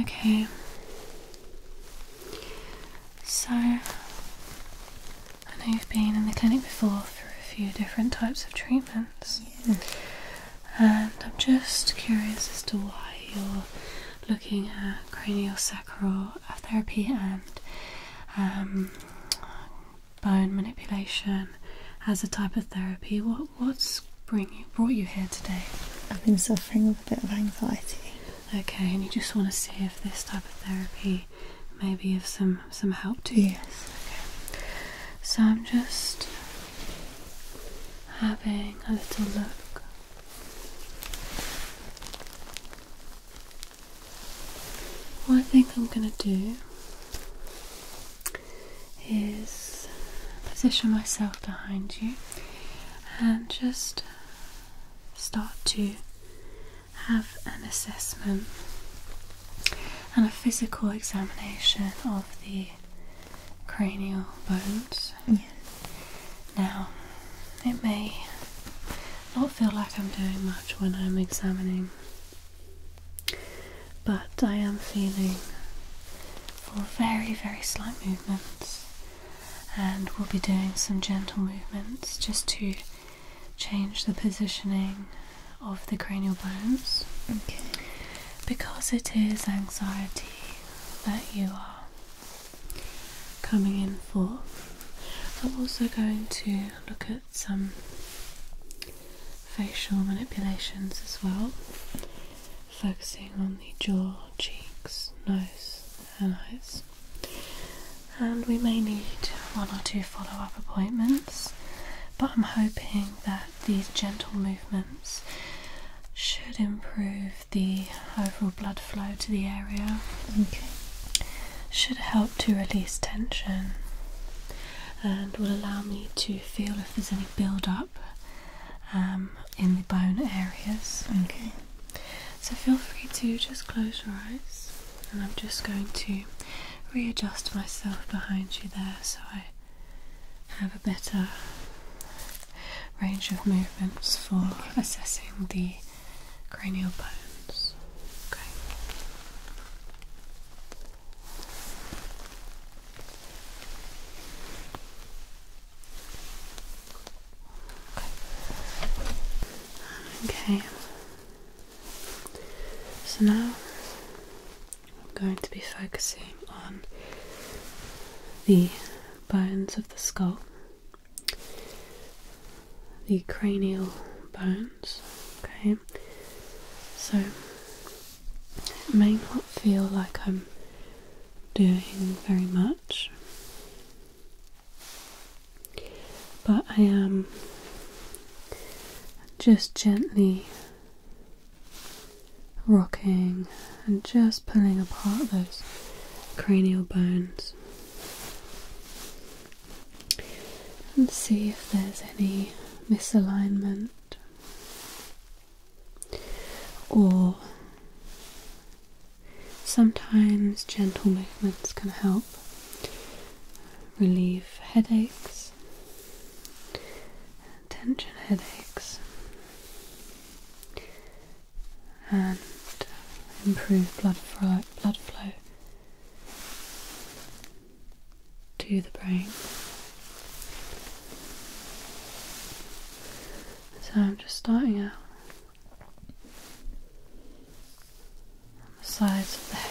Okay. So, I know you've been in the clinic before for a few different types of treatments. And I'm just curious as to why you're looking at craniosacral therapy and um, bone manipulation as a type of therapy. What what's bring you, brought you here today? I've been suffering with a bit of anxiety. Okay, and you just want to see if this type of therapy may be of some some help to you. Yes. Okay. So I'm just having a little look. What I think I'm gonna do is position myself behind you and just start to have an assessment and a physical examination of the cranial bones. Now, it may not feel like I'm doing much when I'm examining, but I am feeling for very, very slight movements. And we'll be doing some gentle movements just to change the positioning of the cranial bones. Okay. Because it is anxiety that you are coming in for. I'm also going to look at some facial manipulations as well focusing on the jaw, cheeks, nose, and eyes. And we may need one or two follow up appointments, but I'm hoping that these gentle movements should improve the overall blood flow to the area. Okay. Should help to release tension and will allow me to feel if there's any build up um, in the bone areas. Okay, so feel free to just close your eyes, and I'm just going to readjust myself behind you there so I have a better range of movements for assessing the cranial bones. Okay. Okay. So now I'm going to be focusing on the bones of the skull, the cranial bones. Okay. So it may not feel like I'm doing very much, but I am just gently rocking and just pulling apart those cranial bones and see if there's any misalignment or sometimes gentle movements can help relieve headaches, tension headaches, and improve blood flow, to the brain. So I'm just starting out on the sides of the head.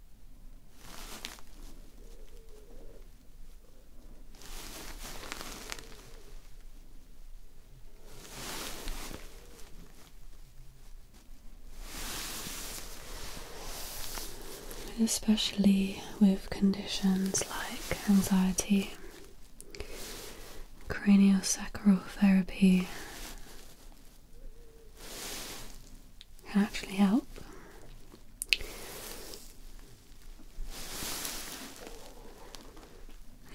Especially with conditions like anxiety, craniosacral therapy can actually help.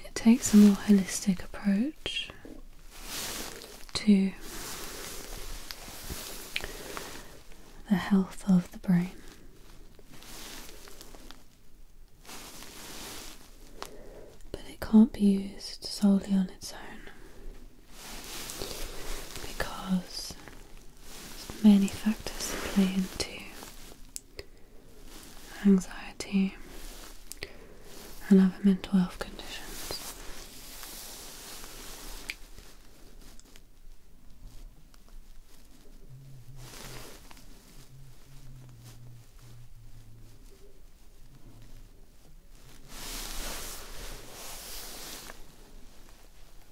It takes a more holistic approach to the health of the brain. But it can't be used solely on its own because there's many factors that play into anxiety and other mental health conditions.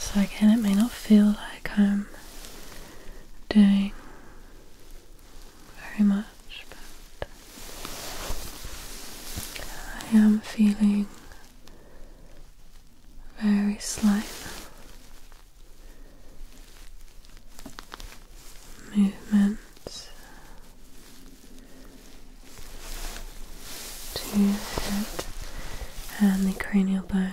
So again, it may not feel like I'm doing very much, but I am feeling very slight movements to the head and the cranial bones.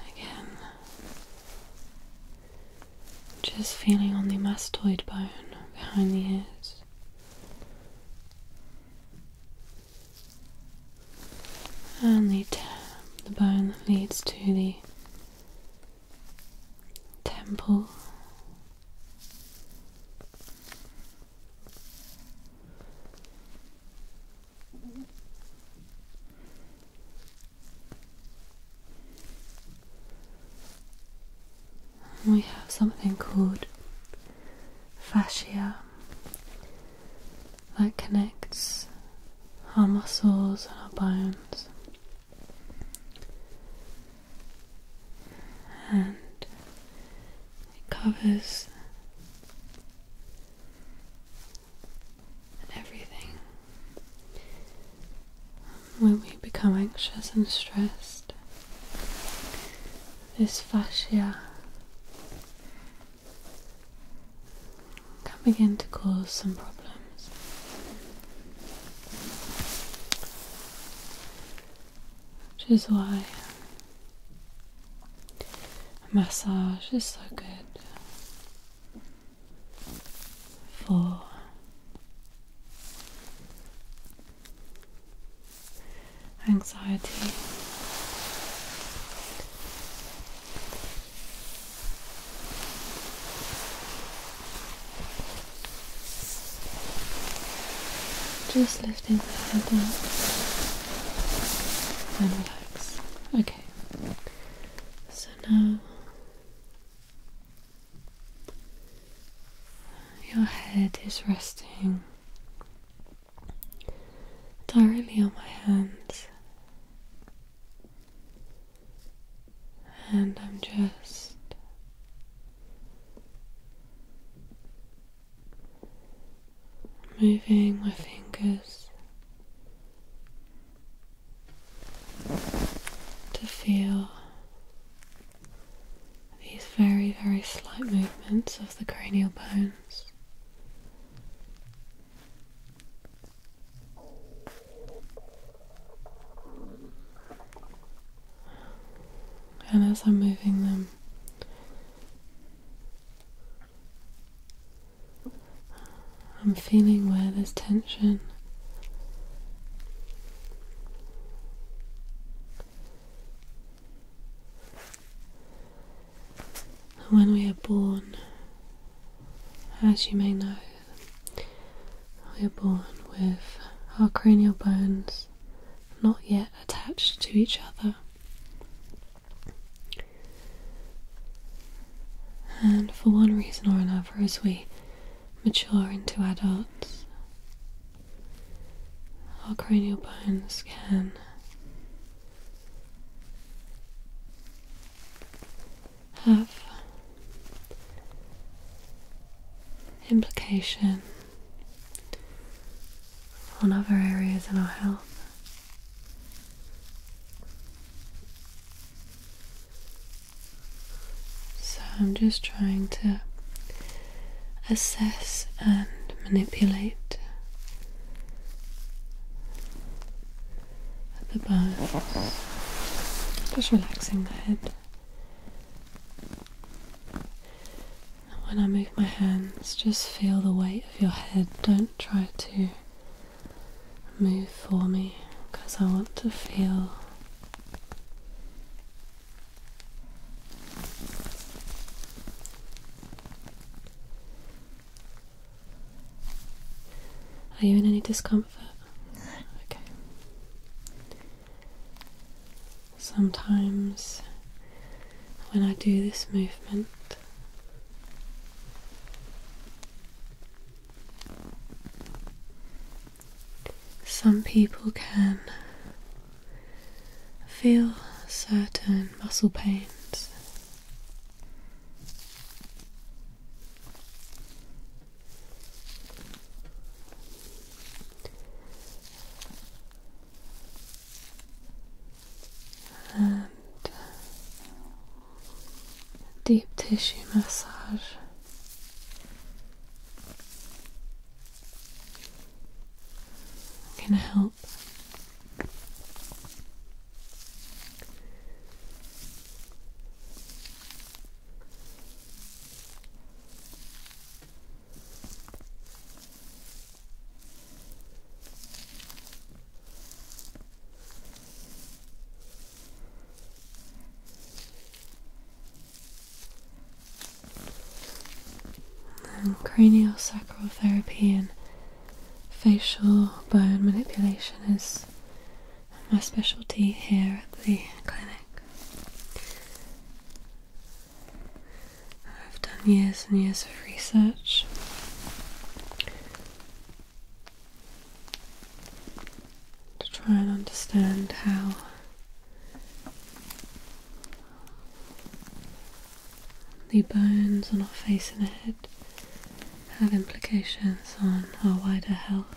Okay. Again, just feeling on the mastoid bone behind the ears. And the, bone that leads to the temple. We have something called fascia that connects our muscles and our bones. And it covers everything when we become anxious and stressed. This fascia can begin to cause some problems. Which is why massage is so good for anxiety. Just lifting the head up and relax. Okay, so now your head is resting directly on my hands, and I'm just moving my fingers to feel these very, very slight movements of the cranial bones. And as I'm moving them, I'm feeling where there's tension. When we are born, as you may know, we are born with our cranial bones not yet attached to each other. And for one reason or another, as we mature into adults. our cranial bones can. Have implication on other areas in our health. So I'm just trying to assess and manipulate the bones, just relaxing the head. when I move my hands, just feel the weight of your head. Don't try to move for me because I want to feel are you in any discomfort? Sometimes when I do this movement, some people can feel certain muscle pains. And deep tissue massage can I help? And craniosacral therapy and facial bone manipulation is my specialty here at the clinic. I've done years and years of research to try and understand how the bones on our face and head have implications on our wider health.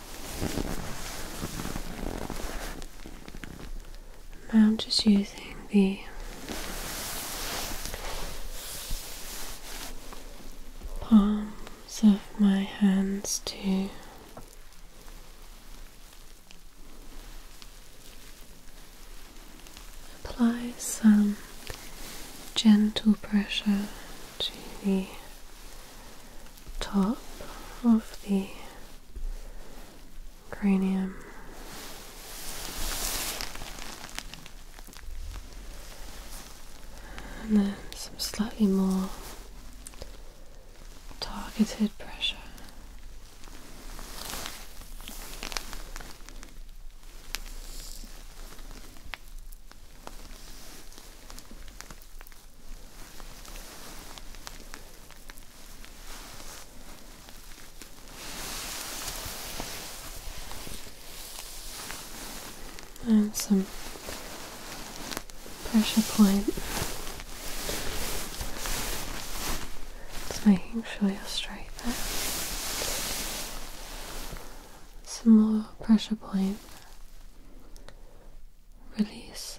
I'm just using the palms of my hands to apply some gentle pressure to the top of the cranium. And then some slightly more targeted pressure. And some pressure point. Just making sure you're straight there. Some more pressure point. Release.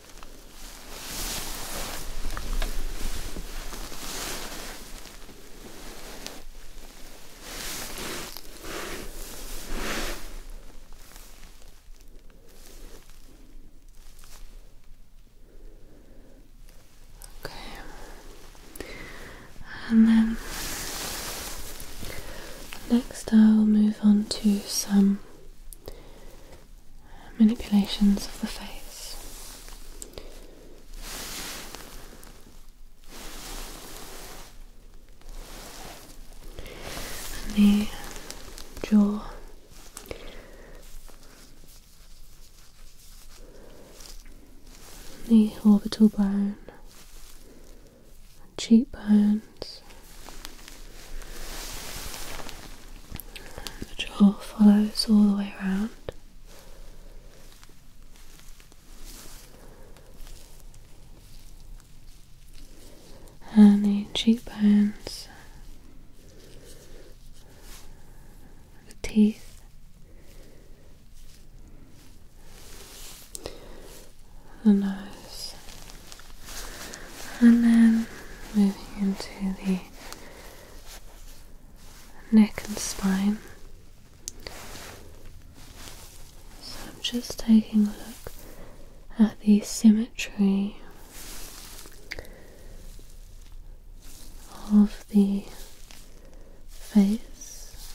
Okay. And then next I'll move on to some manipulations of the face. the jaw. The orbital bone, cheekbone, hands. The jaw follows all the way around. And the cheekbones, the teeth. The nose, and then moving into the neck and spine. So I'm just taking a look at the symmetry of the face.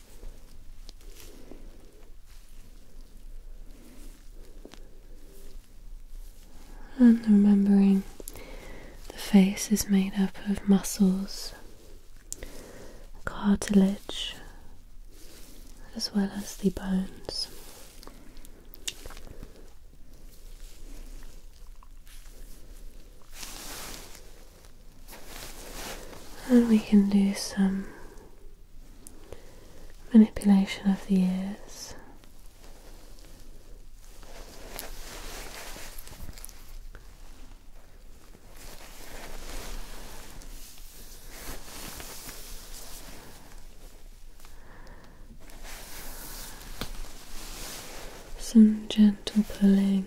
And remembering the face is made up of muscles, cartilage, as well as the bones. And we can do some manipulation of the ears. Some gentle pulling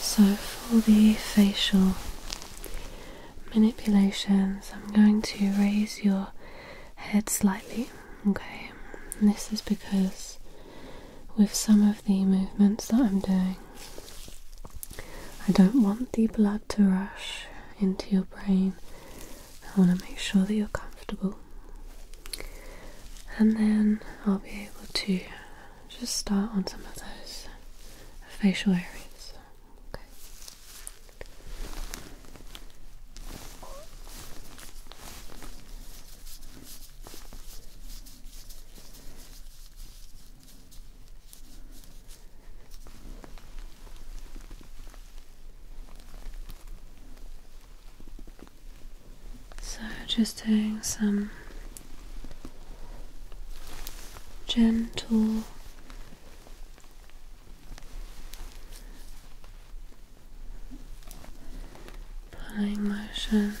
So, for the facial manipulations, I'm going to raise your head slightly, okay? this is because with some of the movements that I'm doing, I don't want the blood to rush into your brain. I want to make sure that you're comfortable. And then I'll be able to just start on some of those facial areas. Okay. So, just doing some gentle pulling motions.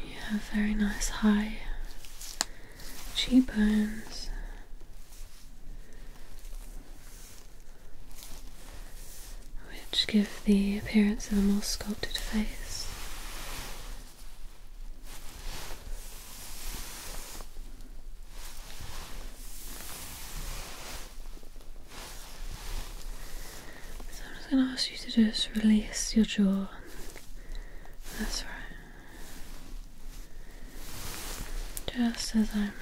And you have very nice high cheekbones. Which give the appearance of a more sculpted face. So I'm just going to ask you to just release your jaw that's right. Just as I move.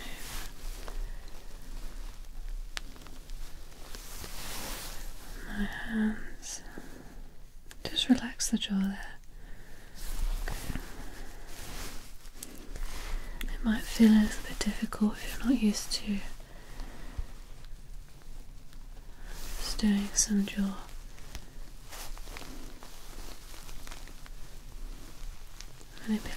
My hands. Just relax the jaw there. It might feel a little bit difficult if you're not used to just doing some jaw. Manipulations.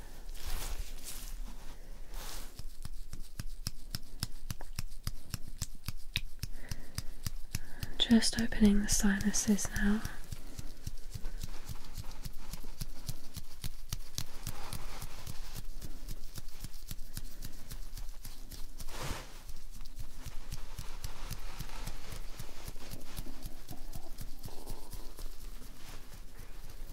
Just opening the sinuses now.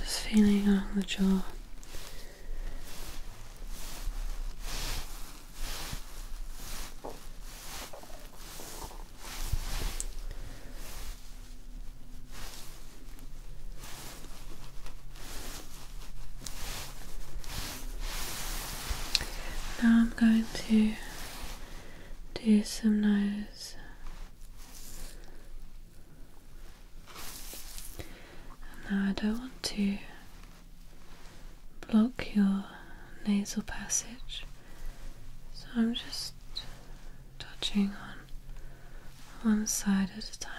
Just feeling on the jaw. Now I'm going to do some nose and now I don't want to block your nasal passage so I'm just touching on one side at a time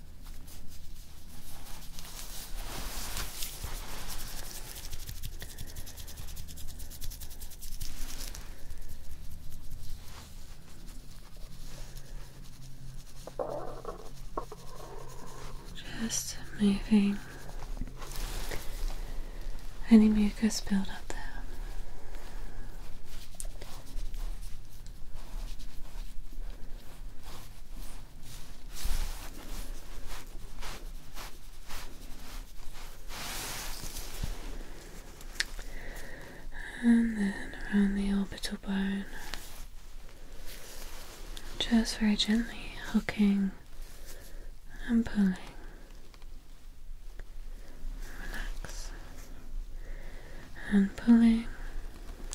Just moving any mucus build up there and then around the orbital bone, just very gently hooking and pulling. Relax and pulling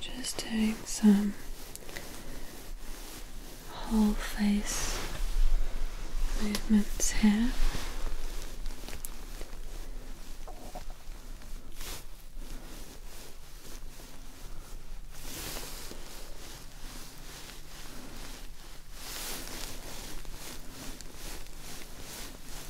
Just doing some whole face movements here.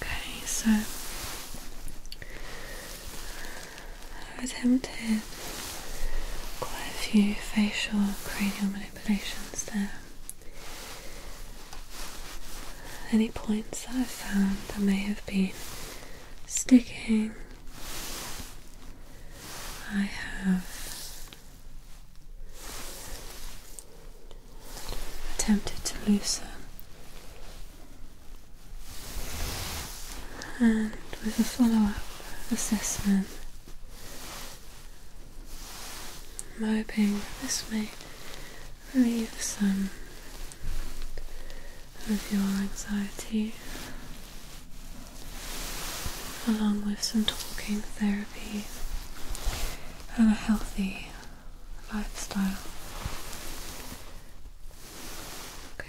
Okay, so I've attempted quite a few facial cranial manipulations there. Any points I've found that may have been sticking, I have Attempted to loosen, and with a follow up assessment, I'm hoping this may relieve some of your anxiety along with some talking therapy and a healthy lifestyle. Okay.